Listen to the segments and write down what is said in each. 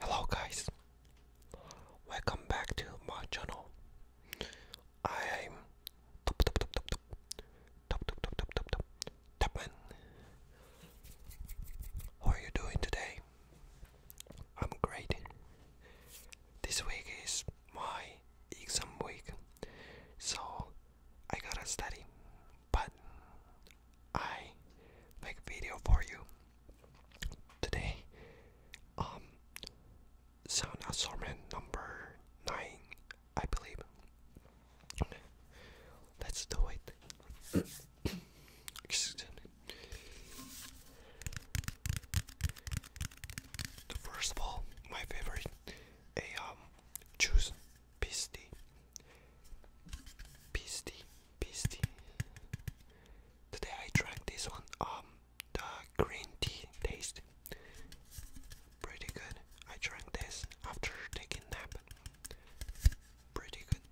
Hello guys, welcome back to my channel. I'm top top top top top top top top top top top Topman. How are you doing today? I'm great. This week is my exam week, so I gotta study, but I make video for you today. Um, sound assignment number nine, I believe. Let's do it. First of all, my favorite, a um, choose Pisti, Pisti, Pisti. Today I drank this one, um, the green tea taste. Pretty good. I drank this after taking nap. Pretty good.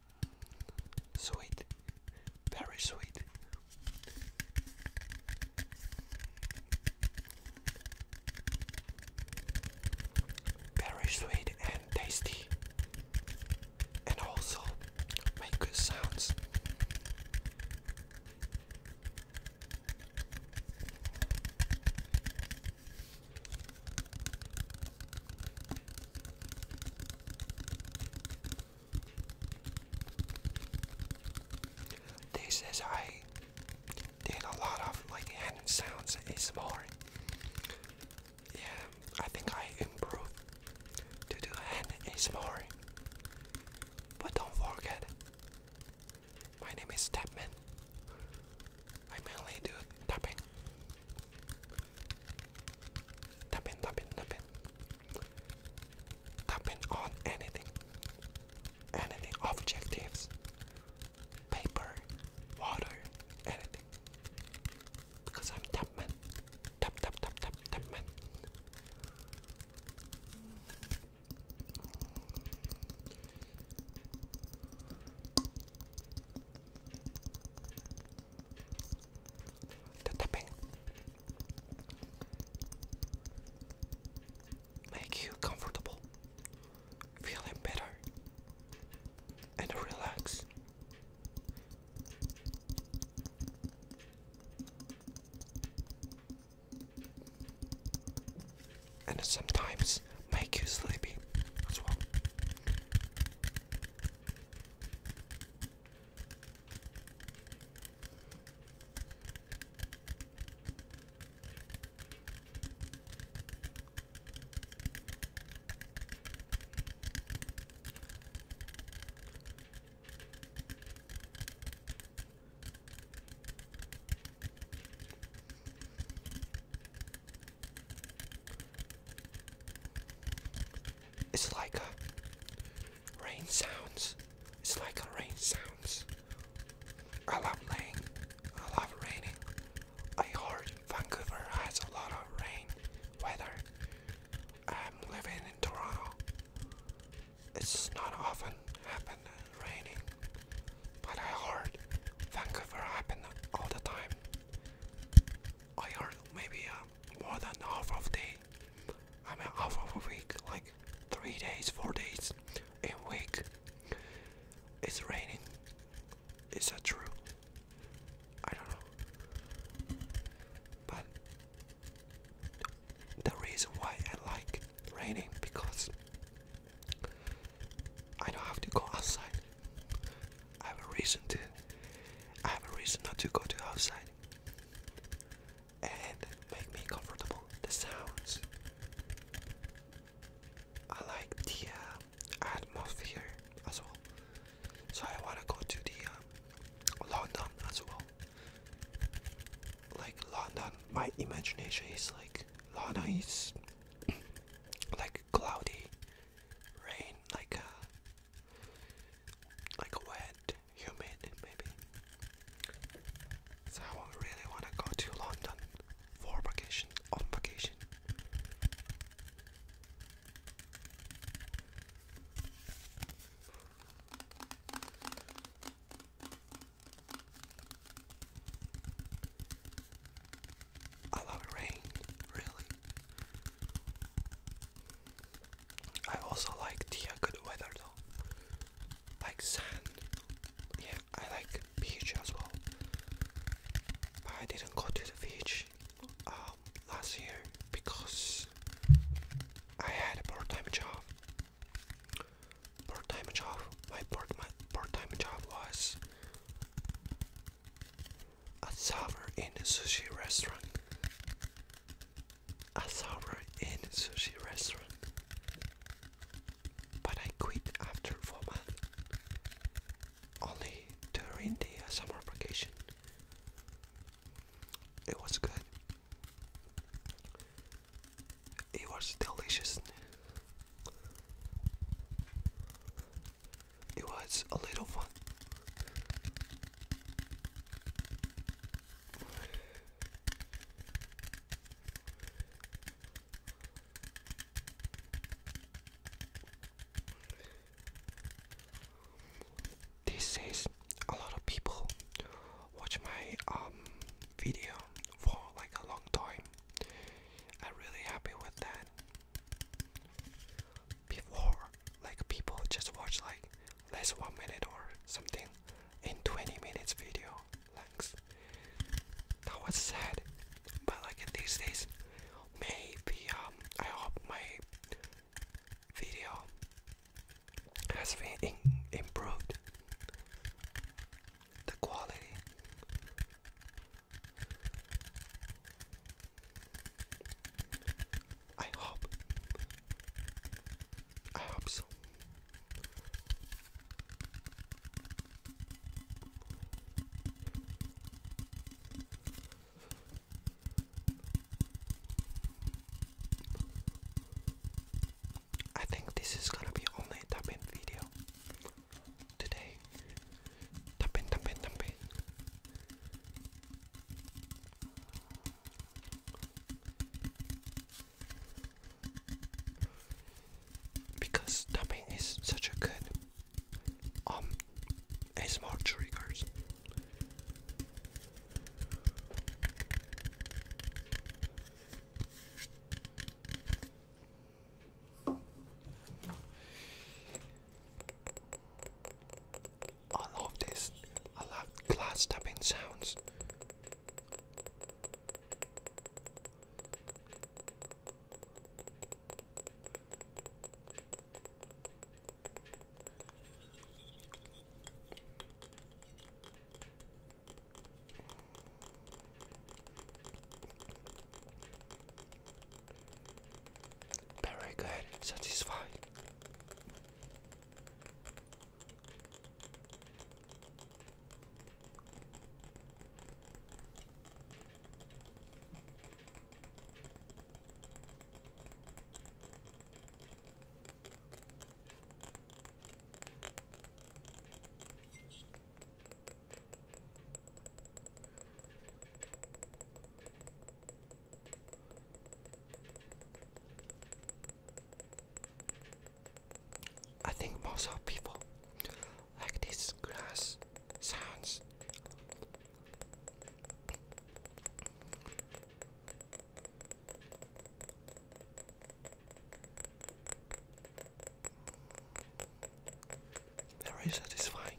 Sweet, very sweet. Very sweet tasty and also make good sounds. This is I did a lot of like hand sounds and more yeah, I think I improved to do hand ASMR. But don't forget, my name is Tapman. I mainly do tapping. Tapping, tapping, tapping. Tapping on anything. Anything, objectives paper, water, anything. Because I'm top man. Top, top, top, top, top man. make you comfortable feeling better and relax. And sometimes make you sleepy it's like a rain sounds. It's like a rain sounds. I love rain. I love raining. I heard Vancouver has a lot of rain weather. I'm living in Toronto. It's not often happening raining, but I heard Vancouver happening all the time. I heard maybe uh, more than half of day, I mean half of a week, like three days, four days a week. It's raining is that true? I don't know. But the reason why I like raining because I don't have to go outside. I have a reason to. I have a reason not to go to outside. And make me comfortable. The sounds. I like the um, atmosphere as well. So I want to go to the um, London as well. Like London, my imagination is like London is like cloudy, rain, like a uh, like wet, humid, maybe. So I really want to go to London for vacation, on vacation. I love rain, really. I also like the uh, good weather though. Like sand. Yeah, I like beach as well. But I didn't go to the beach um, last year because I had a part-time job. Part-time job. My part-time job was a server in a sushi restaurant. A server in a sushi restaurant. But I quit after four months only during the uh, summer vacation. It was good. It was delicious. It was a little fun. This is a lot of people watch my um video for like a long time. I'm really happy with that. Before, like people just watch like less one minute or something in 20 minutes video length. That was sad but like in these days, maybe um, I hope my video has been improved the quality. I hope. I hope so. I think this is gonna be only a video today. Tap in, tap Because tapping is such a good um ASMR triggers. I love this. I love glass tapping sounds. Very good, satisfied. I think most of people like this glass sounds very satisfying.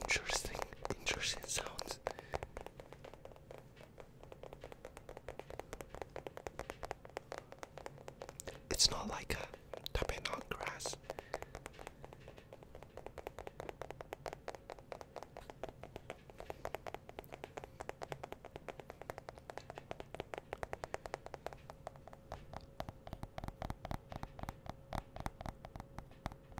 interesting, interesting sounds. It's not like a tapping on grass.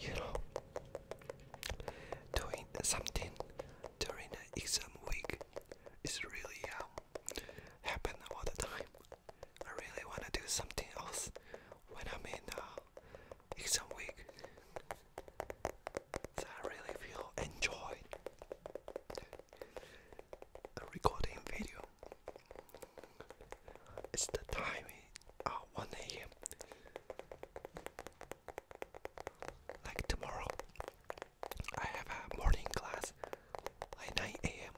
You know, doing something during an exam week is really um, happen all the time. I really want to do something else when I'm in uh, exam week. I really feel enjoyed recording video. It's the time uh, 1 a.m. Like tomorrow, I have a morning class at 9 a.m.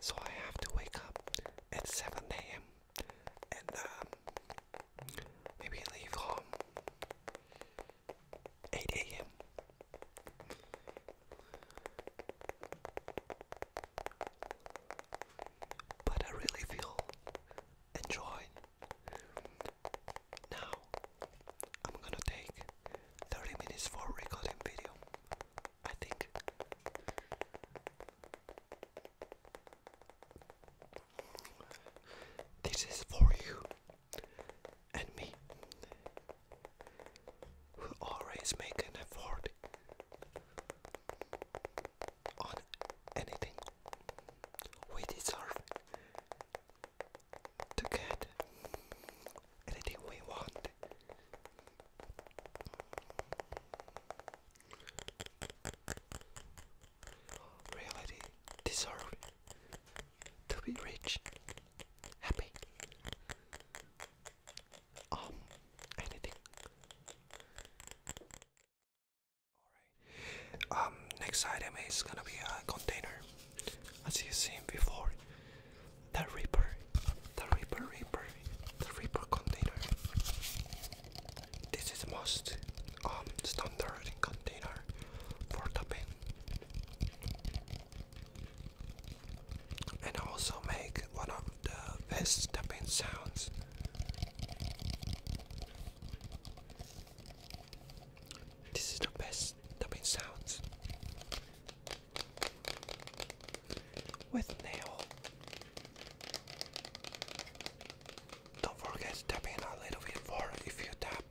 So I have to wake up at 7 a.m. and um, maybe leave home 8 a.m. But I really feel enjoyed. Now I'm gonna take 30 minutes for recording video. I think this is for you and me, who always make an effort on anything we deserve to get anything we want. Reality deserve to be rich, happy, um, anything. Alright. Um, next item is gonna be a container. As you've seen before, the Reaper, the Reaper, Reaper, the Reaper container. This is most um standard container for topping. And also make one of the best tapping sounds. This is the best tapping sounds with nail. Don't forget tapping a little bit more if you tap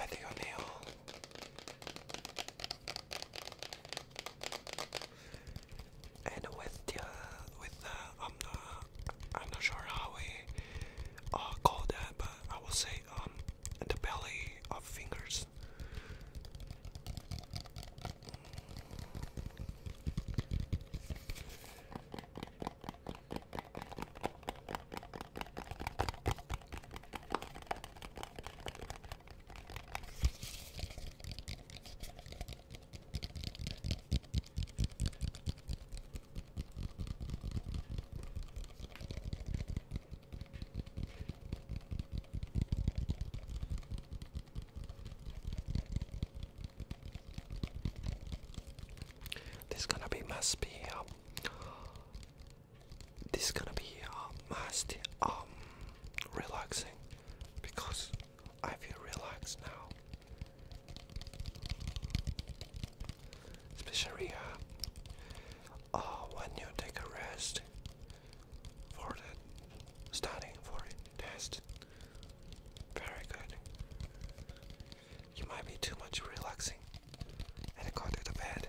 with your nail. And with the with the I'm not I'm not sure how we uh, call that, but I will say um the belly of fingers. This gonna be must um, be this is gonna be a um, musty, um, relaxing because I feel relaxed now. Especially uh, uh, when you take a rest for the studying for the test. Very good. You might be too much relaxing and go to the bed.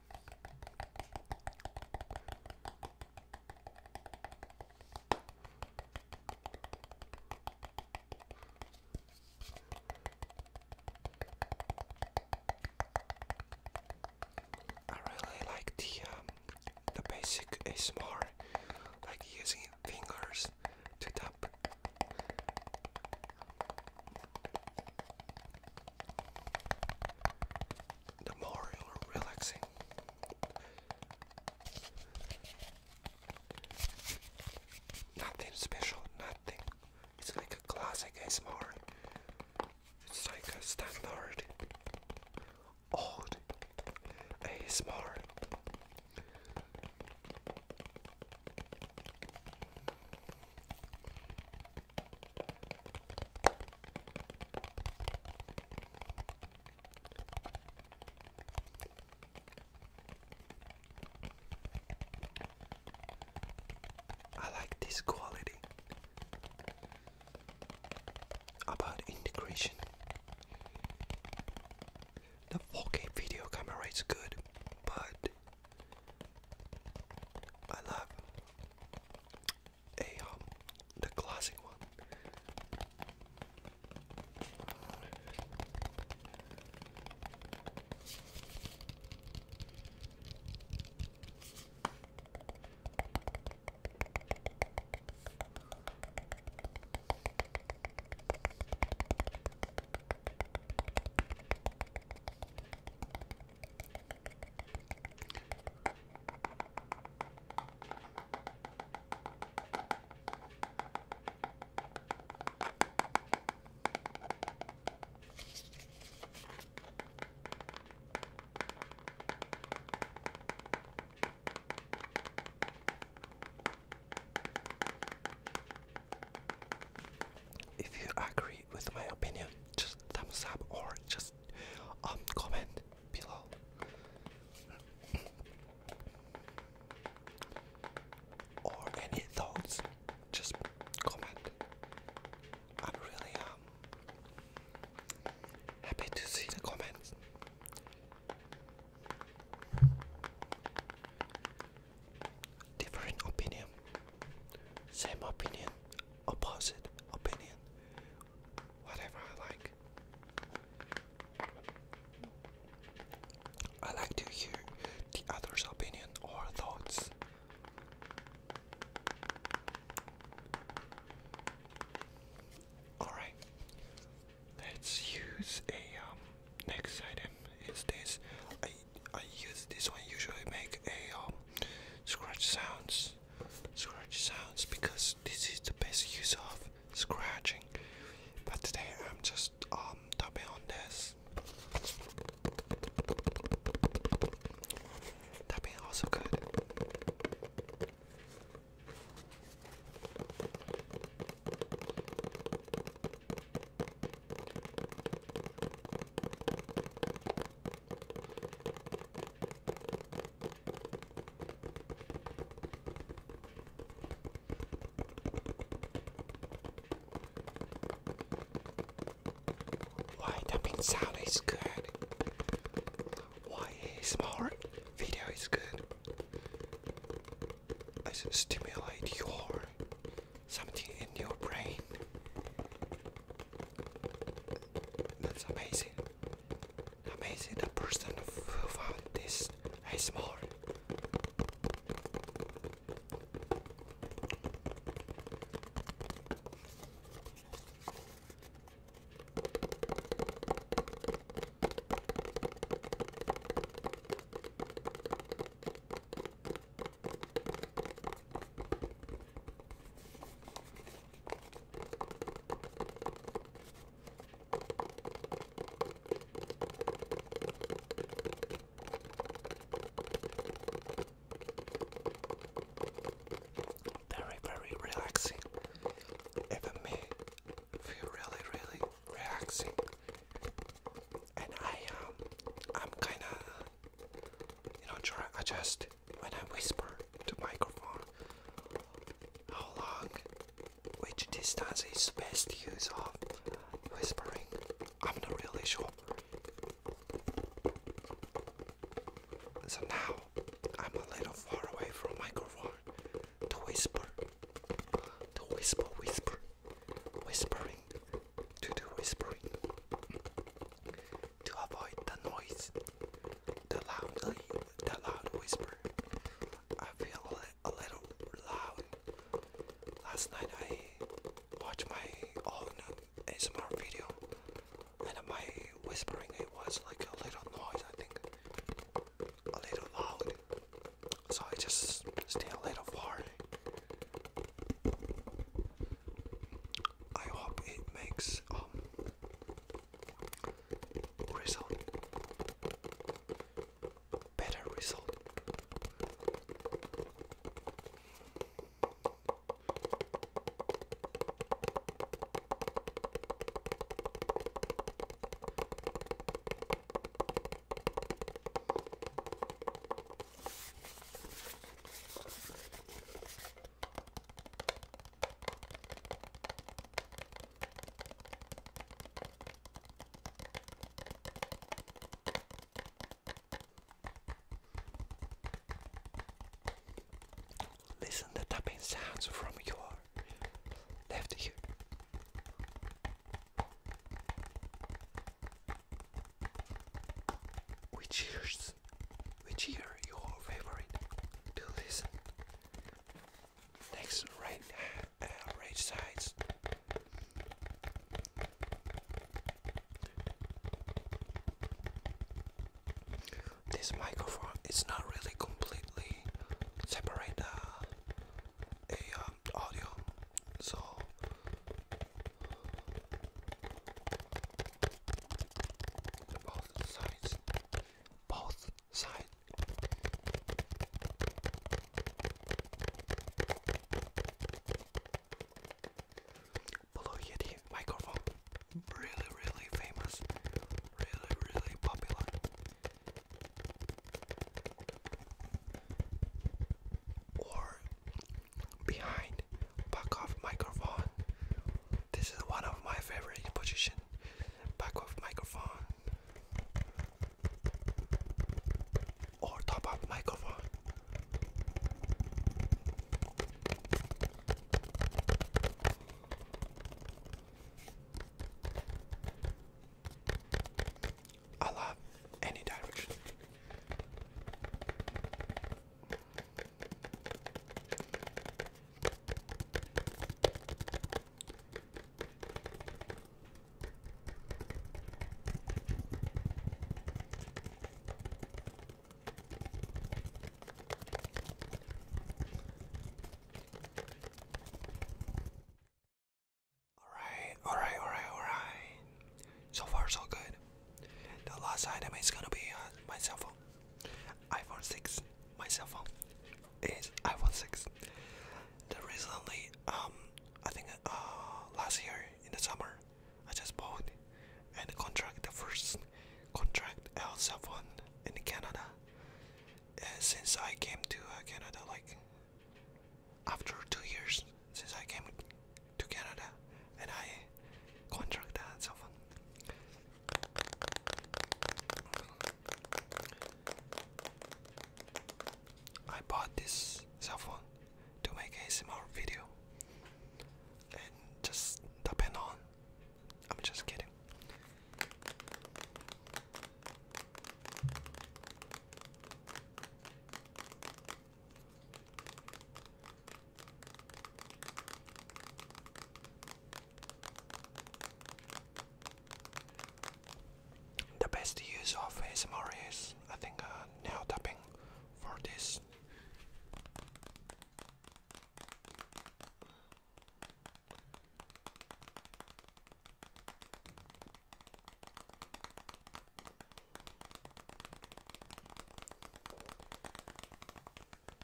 I really like the um, the basic ASMR, like using fingers to tap the more relaxing. Nothing special, nothing. It's like a classic ASMR. It's like a standard old ASMR. I like this quality about integration. The 4K video camera is good, but I love a um, the classic one. If you agree with my opinion, just thumbs up or just um, comment below. or any thoughts, just comment. I'm really um, happy to see the comments. Different opinion, same opinion, opposite opinion whatever I like. I like to hear the other's opinion or thoughts. Alright, let's use a um, next item is this. I, I use this one usually make a um, scratch sounds scratch sounds, because this is the best use of scratching. But today I'm just um tapping on this. Tapping also good. Why tapping sound is good. Why ASMR video is good. As stimulate your something in your brain. That's amazing. Amazing the person who found this more. Very, very relaxing. Even me feel really, really relaxing. And I um, I'm kinda, you know, trying adjust when I whisper to microphone how long, which distance is best use of whispering. I'm not really sure. So now I'm a little far away from microphone to whisper, to whisper, whisper, whispering, to do whispering, to avoid the noise the loud, the loud whisper. I feel a, little loud. Last night I watched my own ASMR video, and my whispering it was like a little noise. I think a little loud, so I just stay a little far. I hope it makes um, result. Better result. Listen the tapping sounds from your left ear. Which ears, which ear your favorite to listen Next, right, uh, right sides. This microphone is not really completely separate the uh, um, audio, so. Both sides both sides. Blue Yeti microphone, really, really famous, really, really popular. Or behind back off microphone. This is one of my favorite position back of microphone or top up microphone. I love any direction. Alright, alright, alright, alright. So far, so good. The last item is gonna be uh, myself iPhone 6. My cell phone is iPhone 6. The recently, um, I think uh, last year in the summer, I just bought and contract the first contract L cell phone in Canada. since I came to uh, Canada, like after two years since I came to Canada, and I contract that cell phone. I bought this cell phone to make a small video and just depend on. I'm just kidding. The best use of ASMR is, I think, uh, nail tapping for this.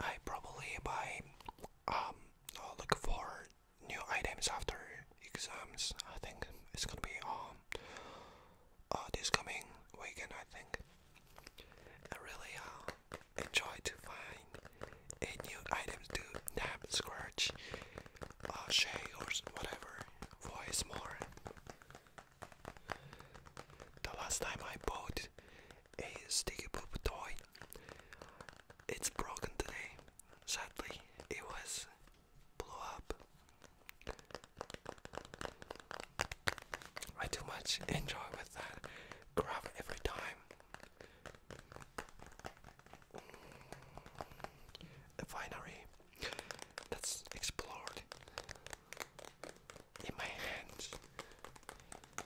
I probably buy um look for new items after exams. I think it's gonna be um uh, this coming weekend. I think I really uh, enjoy to find a new items to nab, scratch, uh, shake or whatever voice more. The last time I bought a sticky poop toy. It's broken today. Sadly, it was blew up. I too much enjoy with that grab every time. Mm. A winery that's explored in my hands.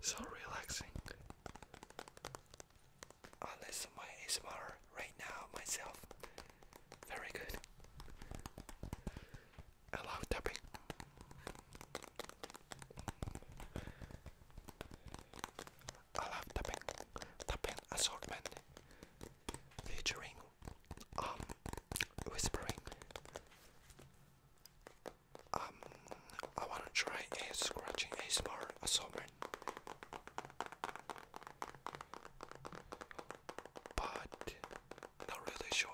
So relaxing. I Unless my ASMR right now myself. Very good. I love I love tapping, assortment featuring um whispering. Um, I wanna try a scratching a small assortment, but not really sure.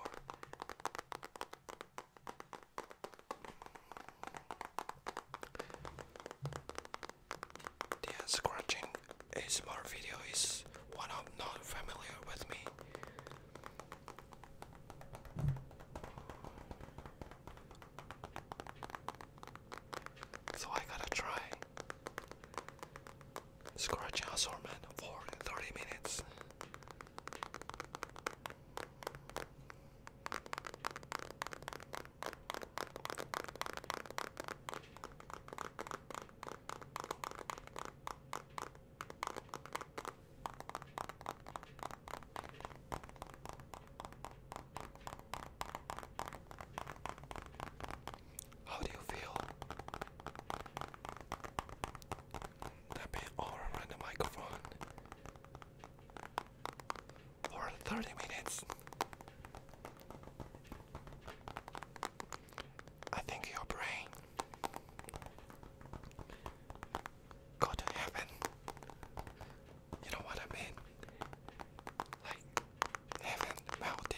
The scratching ASMR video is one I'm not familiar with me. So I gotta try scratch assortment for 30 minutes. How do you feel? Tapping all around the microphone for 30 minutes. I think your brain go to heaven. You know what I mean? Like heaven melted.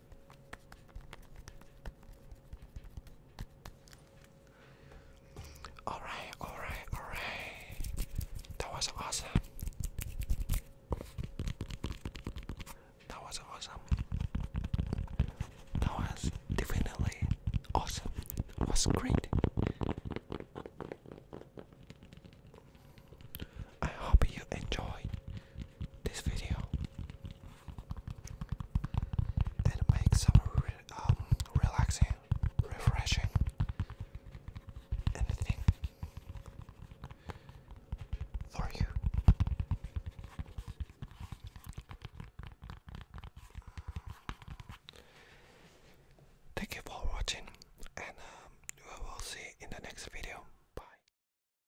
Alright, alright, alright. That was awesome. That was awesome. That was definitely awesome. It was great. I hope you enjoy this video and make some um, relaxing, refreshing anything for you. Thank you for watching, and um, we will see in the next video. Bye.